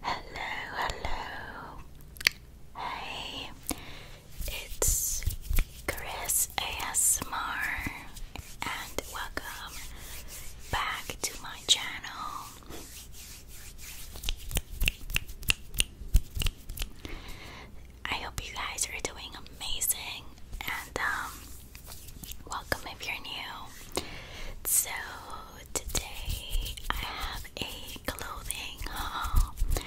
Hello, hello. Hey, it's Chris ASMR, and welcome back to my channel. I hope you guys are doing amazing, and um, Welcome if you're new. So, today I have a clothing haul, and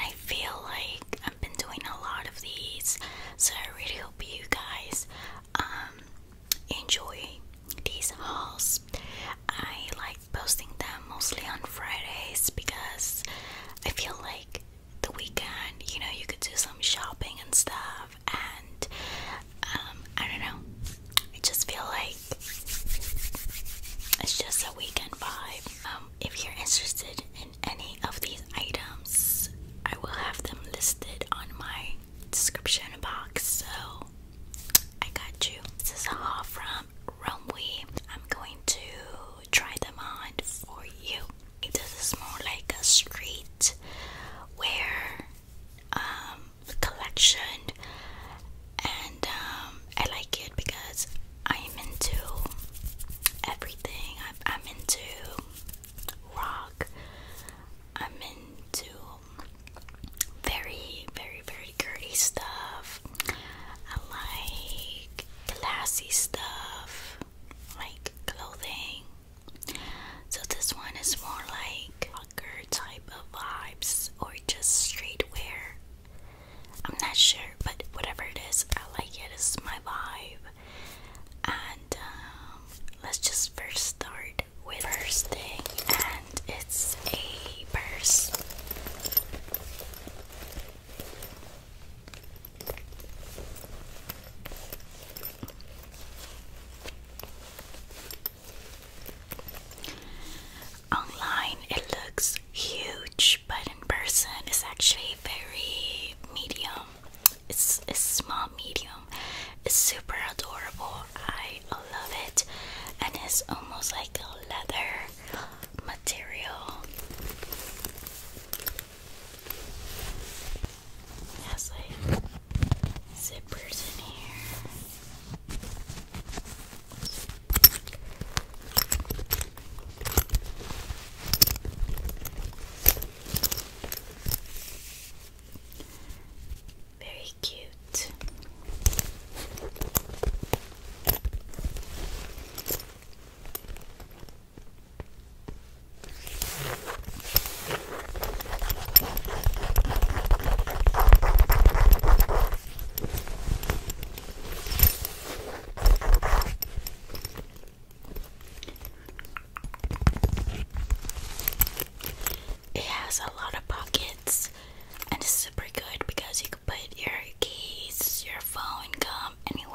I feel like I've been doing a lot of these, so I really hope you guys um, enjoy these hauls. I like posting them mostly on Fridays because I feel like the weekend, you know, you could do some shopping and stuff, and um, I don't know, I just feel like it's just a weekend vibe. Um, if you're interested in any of these items, I will have them listed on my description box, so I got you. This is a haul from Romwe. I'm going to try them on for you. This is more like a street where um, collection, and um, I like it because I'm into everything. I'm, I'm into rock. I'm into very, very, very girly stuff. I like classy stuff, like clothing. So this one is more like rocker type of vibes or just streetwear. I'm not sure, but whatever it is, I like it. It's my vibe. And um, let's just first start with first thing, and it's a purse. Online it looks huge, but in person it's actually very medium. It's, it's small, medium. It's super adorable. I love it. And it's almost like leather material. Has like zippers in here. Very cute. It has a lot of pockets and it's super good because you can put your keys, your your phone come anywhere.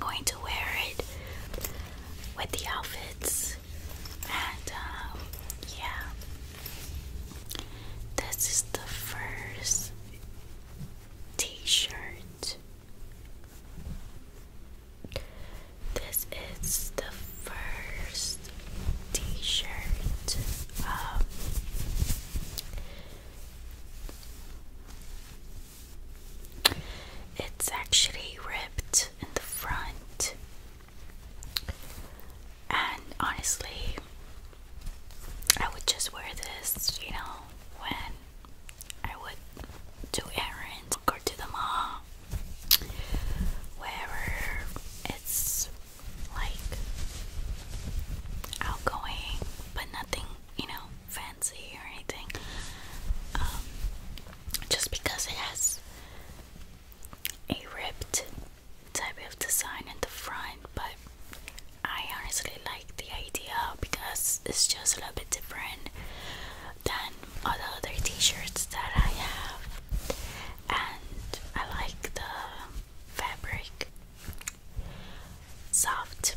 going to wear it with the outfits, and um, yeah, this is the first t shirt. This is the first t-shirt. Um, it's actually ripped in the front, and honestly, I would just wear this, you know, when I would do errands, or to the mall, wherever it's like outgoing, but nothing, you know, fancy or anything. Um, just because it has a ripped type of design in the front, but I honestly like the idea because it's just a little bit different than all the other t shirts that I have, and I like the fabric, soft.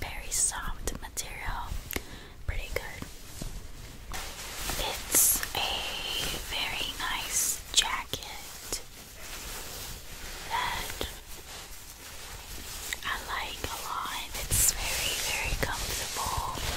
Very soft material, pretty good. It's a very nice jacket that I like a lot. It's very, very comfortable.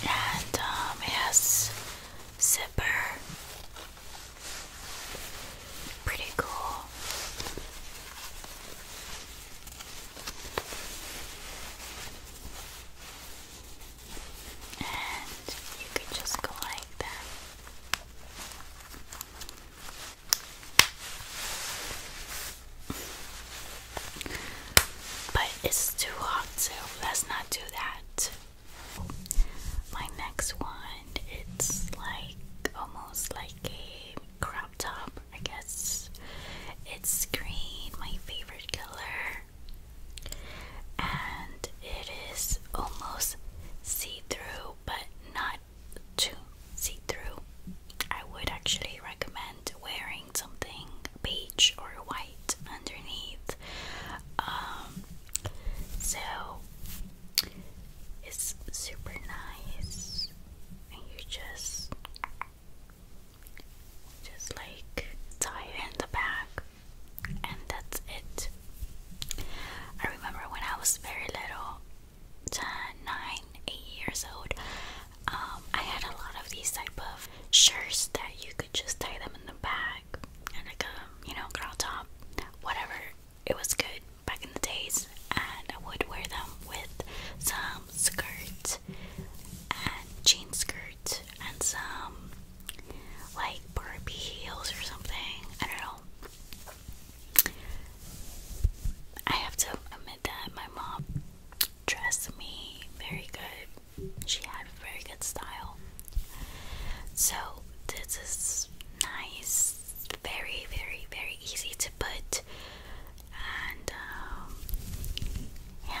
And um, zipper Pretty cool. And you could just go like that. But it's too hot, so let's not do that. My next one, it's like almost like a crop top, I guess. It's green, my favorite color. And it is almost see through, but not too see through. I would actually recommend wearing something beige or white underneath. Um, so it's super nice, and you just just like tie it in the back, and that's it. I remember when I was very little, nine, eight years old. Um, I had a lot of these type of shirts that you could just tie them in the back and a um, you know girl top, whatever. It was good back in the days, and I would wear them with some skirt and jean skirt and some like Barbie heels or something. I don't know. I have to admit that my mom dressed me very good she had very good style. So this is nice, very, very, very easy to put, and um, yeah.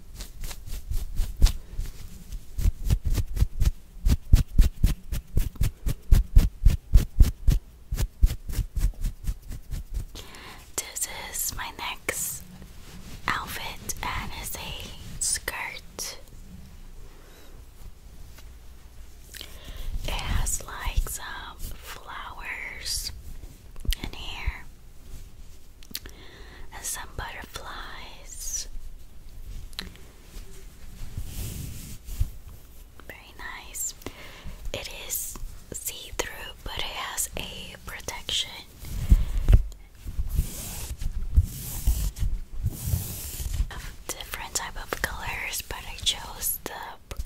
This is my next outfit, and it's a skirt. It has like some flowers in here and some butterflies. Very nice. It is see through, but it has a protection. different type of colors, but I chose the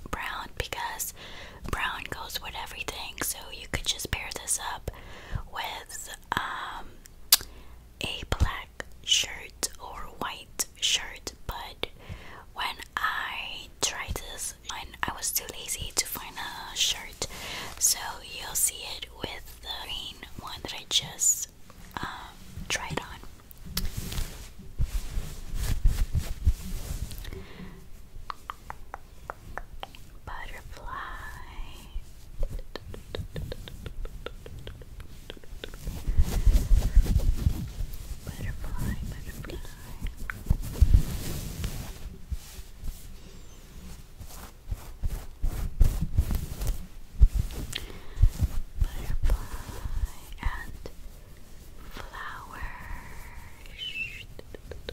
brown because brown goes with everything. So you could just pair this up with um, a black shirt or white shirt, but when I tried this, and I was too lazy to find a shirt, so you'll see it with the green one that I just um, tried on butterfly, butterfly, butterfly. and flower.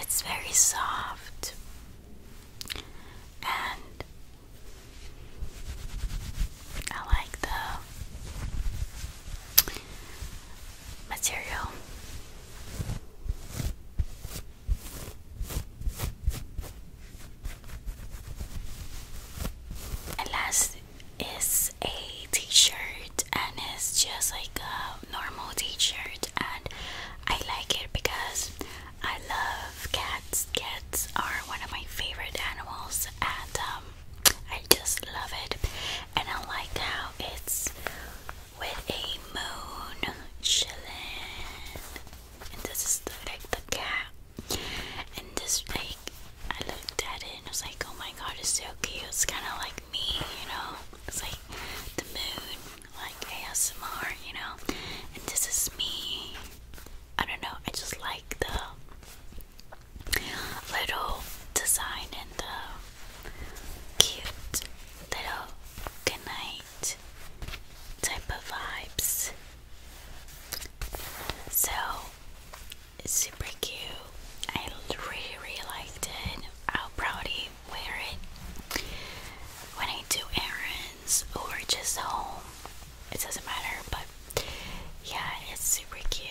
It's very soft and I like the material. And last is a t-shirt and it's just like a normal t-shirt and I like it because I love cats. Cats are one of my favorite animals and um I just love it, and I like how it's with a moon chilling. And this is the, like the cat, and this like I looked at it and I was like, oh my god, it's so cute. It's kind of like me, you know. It's like the moon, like ASMR, you know. And this is me. I don't know. I just like the little design in the cute little goodnight type of vibes. So it's super cute. I really, really liked it. I'll probably wear it when I do errands or just home. It doesn't matter, but yeah, it's super cute.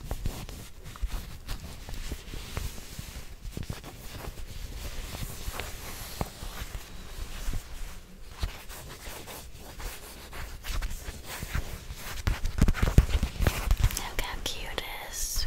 Look how cute it is.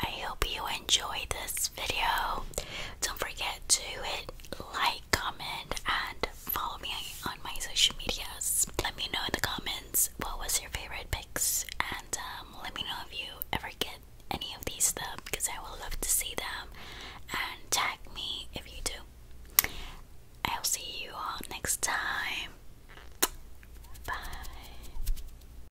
I hope you enjoyed this video. Don't forget to hit like, comment, and follow me on my social medias. Let me know in the comments what was your favorite picks, and um, let me know if you ever get any of these stuff because I will love to see them. And tag me if you do. I'll see you all next time. Bye.